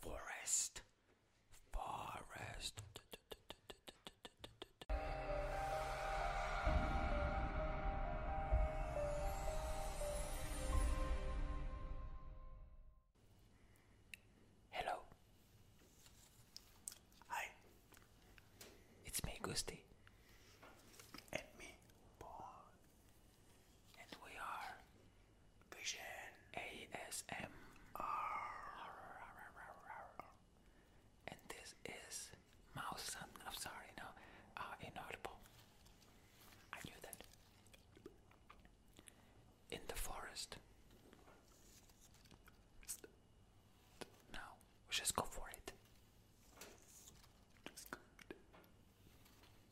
Forest. Forest. Hello. Hi. It's me, Gusti. And me, Paul. And we are Vision ASMR. And this is mouse sound. I'm sorry, no, uh, inaudible. I knew that. In the forest. No, we just go for it.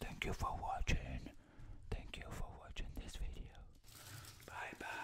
Thank you for watching. Thank you for watching this video. Bye bye.